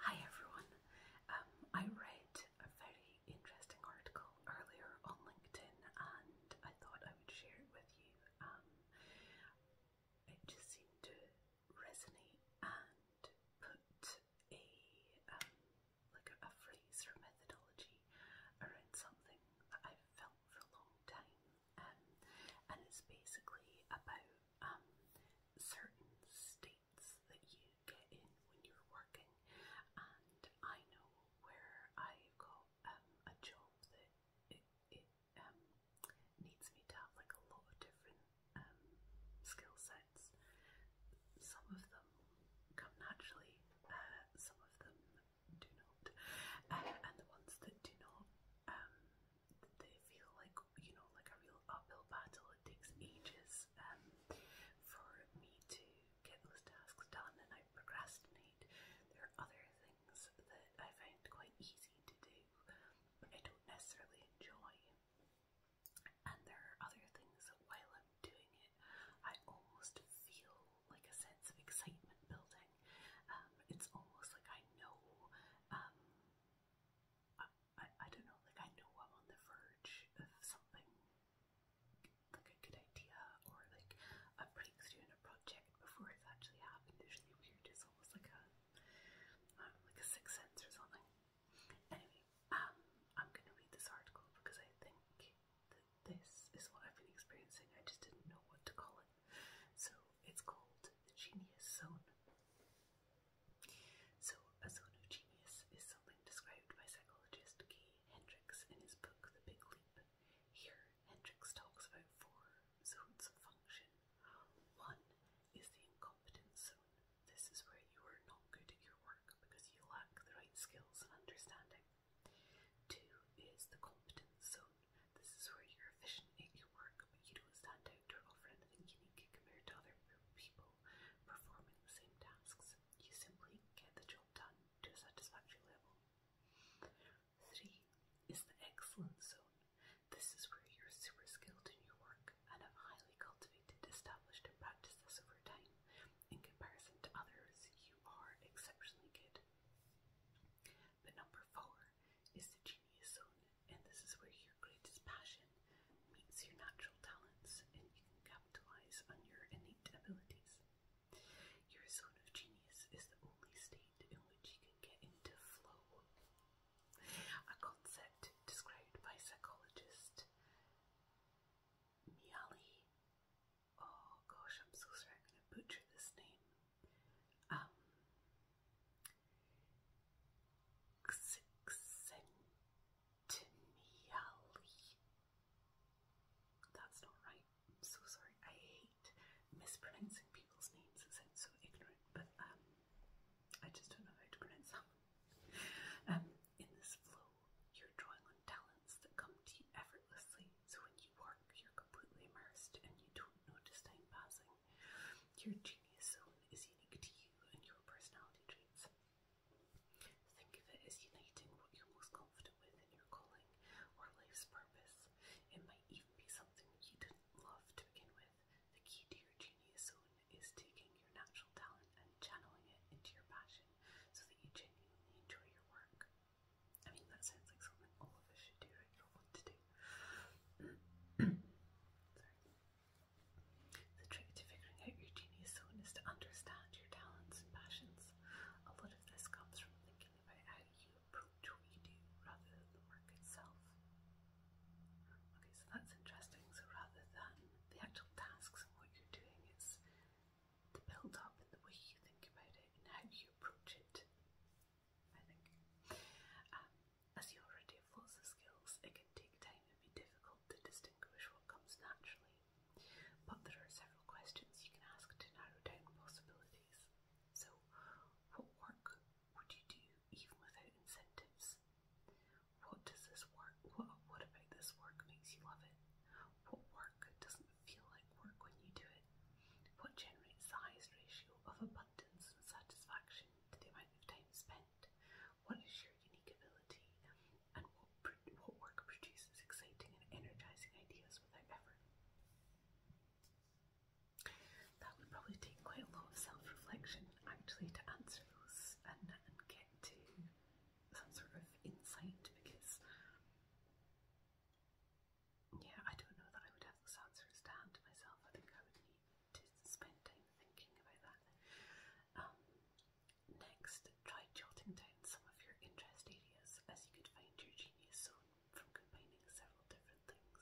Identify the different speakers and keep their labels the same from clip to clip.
Speaker 1: Hi everyone. Um, I read a very interesting article earlier on LinkedIn and I thought I would share it with you. Um, it just seemed to resonate and put a um, like a, phrase or methodology around something that I've felt for a long time. and it's basically about um, certain states that you get in when you're working, and I know where I've got um, a job that it, it um, needs me to have like a lot of different um, skill sets. Some of them come naturally, uh, some of them do not, uh, and the ones that do not um, they feel like you know like a real uphill battle. It takes ages um, for me to get those tasks done, and I procrastinate. There are other things that I find quite easy to do, but I don't necessarily enjoy. And there are other things that while I'm doing it, I almost feel like a sense of excitement building. Um, it's almost like I know um, I, I, don't know, like I know I'm on the verge of something like a good idea or like a breakthrough in a project before it's actually happened. It's really weird. It's almost like a um, like a sixth sense or something. Anyway, um, I'm gonna read this article because I think that this is what I've been experiencing. I just didn't know what to call it so it's called the genius zone. So a zone of genius is something described by psychologist Kay Hendricks in his book The Big Leap. Here, Hendricks talks about four zones of function. One is the incompetence zone. This is where you are not good at your work because you lack the right skills and understanding. Two is the competence zone. This is where you're efficient in your work, but you don't stand out or offer anything unique compared to other people performing the same tasks. You simply get the job done to a satisfactory level. Three is the excellence zone. This is where you're super skilled in your work and have highly cultivated, established, and practiced this over time. In comparison to others, you are exceptionally good. But number four is the genius zone, and this is where your greatest passion meets your natural talents, and you can capitalize on your innate abilities. Your zone of genius is the only state in which you can get into flow, a concept described by psychologist Mihaly oh gosh, I'm so sorry, I'm going to butcher this name. Um, That's not right. I'm so sorry. I hate mispronouncing people's names. It sounds so ignorant, but um, I just don't know how to pronounce them. Um, in this flow, you're drawing on talents that come to you effortlessly so when you work, you're completely immersed and you don't notice time passing. Your genius zone is unique to you and your personality traits. Think of it as uniting what you're most confident with in your calling or life's purpose. It might even be something you didn't love to begin with. The key to your genius zone is taking your natural talent and channeling it into your passion so that you genuinely enjoy your work. I mean, that sounds like something all of us should do, right? Or want to do. The trick to figuring out your genius zone is to understand your talents and passions. A lot of this comes from thinking about how you approach what you do rather than the work itself. Okay, so that's interesting. So rather than the actual tasks and what you're doing, is the build up and the way you think about it and how you approach it. I think. Um, as you already have lots skills, it can take time and be difficult to distinguish what comes naturally. But there are several questions you can ask to narrow down possibilities. So, what work would you do even without incentives? What does this work? What, what about this work makes you love it? What work doesn't feel like work when you do it? What generates the highest ratio of abundance and satisfaction to the amount of time spent? What is your unique ability? And what, what work produces exciting and energizing ideas without effort? That would probably take quite a lot of self reflection actually to answer those and, and get to that sort of insight because yeah, I don't know that I would have those answers to hand to myself. I think I would need to spend time thinking about that. Um, next, try jotting down some of your interest areas as you could find your genius zone from combining several different things.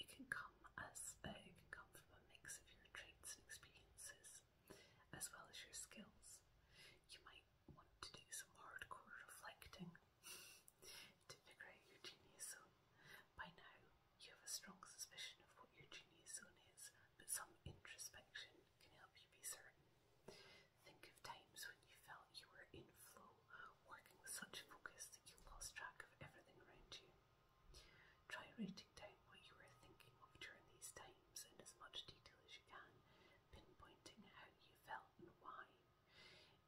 Speaker 1: It can come as uh, it can come from a mix of your traits and experiences, as well as your skills. You might want to do some hardcore reflecting to figure out your genius zone. By now, you have a strong suspicion of what your genius zone is, but some introspection can help you be certain. Think of times when you felt you were in flow, working with such focus that you lost track of everything around you. Try rating jot down what you are thinking of during these times in as much detail as you can, pinpointing how you felt and why.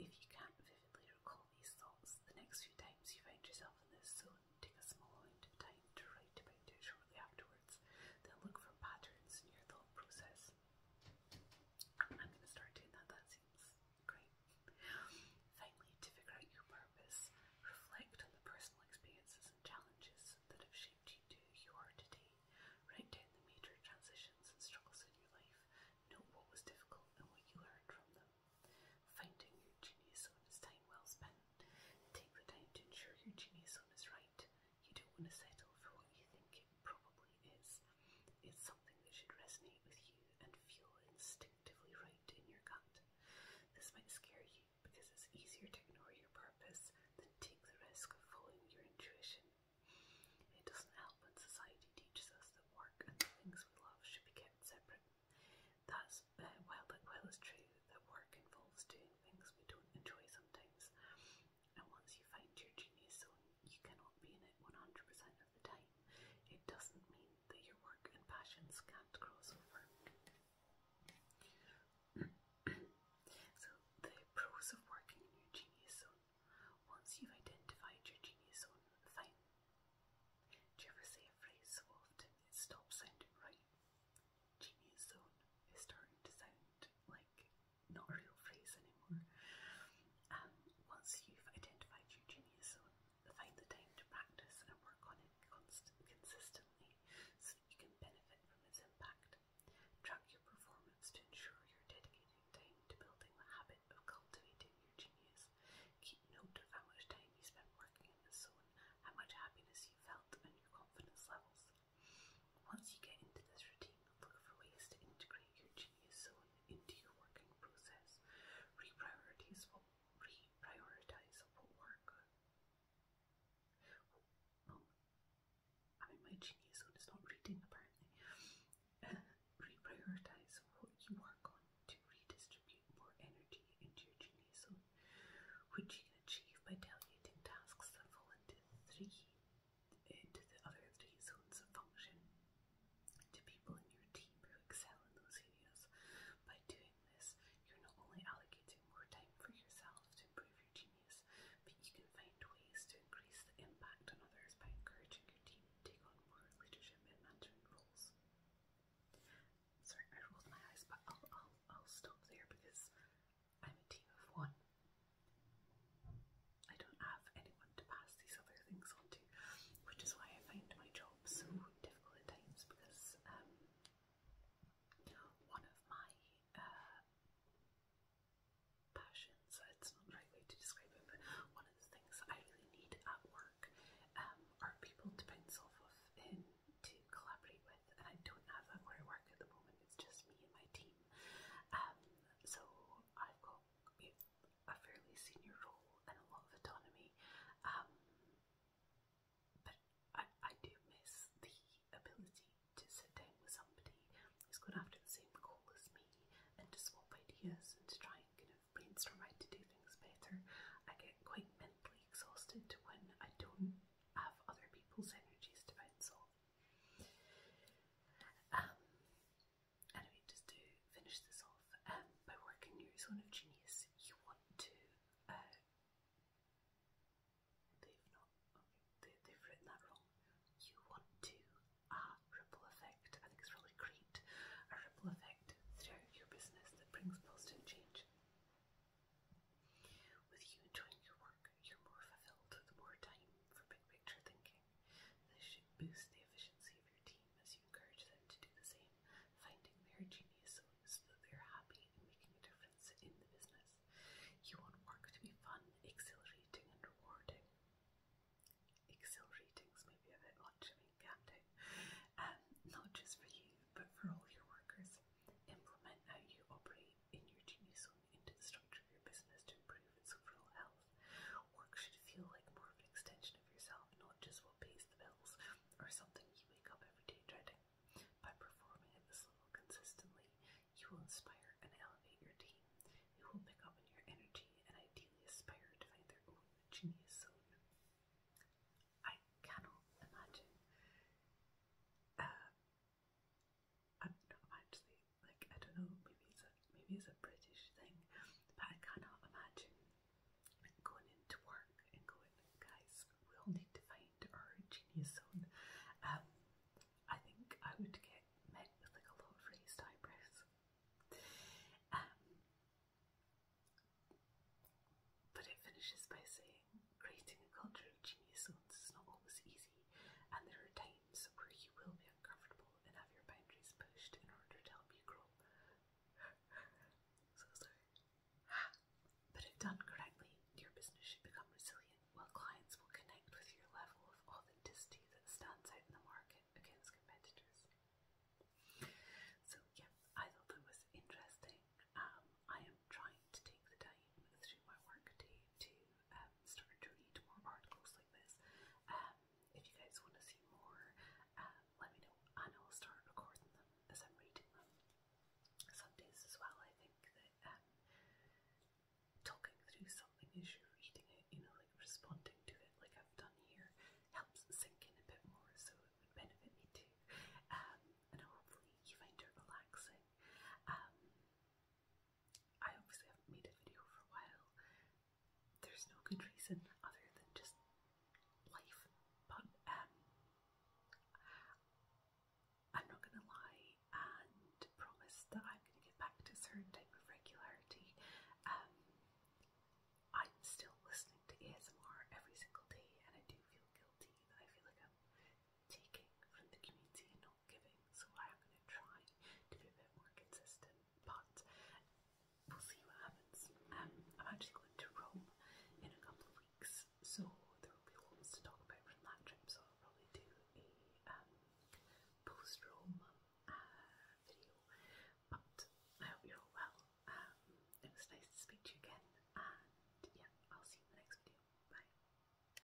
Speaker 1: If you can vividly recall these thoughts, the next few times you find yourself in this zone, take a small amount of time to write about it shortly afterwards, then look for patterns in your thought process. I'm going to start doing that, that seems great. Finally, to figure out your purpose, reflect on the personal experiences lessons and challenges that have shaped you to who you are today. Write down the major transitions and struggles in your life. Note what was difficult and what you learned from them. Finding your genius zone is time well spent. Take the time to ensure your genius zone is right. You don't want to settle for what you think it probably is. It's something that should resonate with you and feel instinctively right in your gut. This might scare you, because it's easier to ignore your purpose than take the risk of following your intuition. It doesn't help when society teaches us that work and the things we love should be kept separate. That's uh, while that while it's true that work involves doing things we don't enjoy sometimes, and once you find your genius zone, you cannot be in it 100% of the time. It doesn't mean that your work and passions can't cross over so the pros of working in your genius zone. Once you've identified your genius zone, fine. Do you ever say a phrase so often it stops sounding right? Genius zone is starting to sound like not a real phrase anymore. Um, once you've identified your genius zone, Find the time to practice and work on it consistently so that you can benefit from its impact. Track your performance to ensure you're dedicating time to building the habit of cultivating your genius. Keep note of how much time you spent working in this zone, how much happiness you felt, and your confidence levels. Once you get into this routine, look for ways to integrate your genius zone into your working process. Reprioritize what reprioritizable work. I'm in my genius zone, it's not reading apparently. reprioritize what you work on to redistribute more energy into your genius zone, you achieve by delegating tasks that fall into three into the other three zones of function to people in your team who excel in those areas. By doing you're not only allocating more time for yourself to improve your genius, but you can find ways to increase the impact on others by encouraging your team to take on more leadership and management roles. Sorry, I rolled my eyes, but I'll, I'll, I'll stop there because I'm a team of one. I don't have anyone to pass these other things on to, which is why I find my job so difficult at times because um, one of my uh, passions, it's not the right way to describe it, but one of the things that I really need at work um, are people to bounce off of and to collaborate with, and I don't have that where I work at the moment, it's just me and my team. Um, so I've got, a fairly senior role and a lot of autonomy. Um, but I, I do miss the ability to sit down with somebody who's going after the same goal as me and to swap ideas and to try and kind of brainstorm how to do things better. I get quite mentally exhausted when I don't have other people's energies to bounce off. Um, Anyway, just to finish this off, um, by working your zone of genius, you want to. Uh, they've not. Okay, they, have written that wrong. You want to a ripple effect. I think it's really great. A ripple effect throughout your business that brings positive change. With you enjoying your work, you're more fulfilled. The more time for big picture thinking working. This should boost the efficiency of your team as you encourage them to do the same, finding their genius so that they're happy and making a difference in the business. You want work to be fun, exhilarating, and rewarding. Exhilarating's maybe a bit much, I mean, can't it? Um, not just for you, but for all your workers. Implement how you operate in your genius zone into the structure of your business to improve its overall health. Work should feel like more of an extension of yourself, not just what pays the bills or something you wake up every day dreading. By performing at this level consistently, you will inspire and elevate your team. They will pick up on your energy and ideally aspire to find their own genius zone. I cannot imagine. Uh, I, not imagine like I don't know, maybe it's a maybe it's a British thing, but I cannot imagine going into work and going, guys, we all need to find our genius zone. Um, I think I would get met with like a lot of raised eyebrows. Um, but it finishes by saying creating a culture of genius zones is not always easy, and there are times where you will be uncomfortable and have your boundaries pushed in order to help you grow. so sorry. But if done correctly, your business should become resilient, while clients will connect with your level of authenticity that stands out in the market against competitors. So, yeah, I thought that was interesting. Um, I am trying to take the time through my work to um, started to read more articles like this. Um, if you guys want to see more, uh, let me know and I'll start recording them as I'm reading them. Some days as well, I think that um, talking through something as you're reading it, you know, like responding to it, like I've done here, helps sink in a bit more, so it would benefit me too. Um, and hopefully, you find it relaxing. Um, I obviously haven't made a video for a while. There's no good reason other than just life, but um, I'm not gonna lie and promise that I'm gonna get back to a certain type of regularity. Um, I'm still listening to ASMR every single day, and I do feel guilty that I feel like I'm taking from the community and not giving, so I'm going to try to be a bit more consistent, but we'll see what happens. Um, I'm actually going to Rome in a couple of weeks, so there will be lots to talk about from that trip, so I'll probably do a um, post Rome uh, video. But I hope you're all well. Um, it was nice to speak to you again, and yeah, I'll see you in the next video. Bye.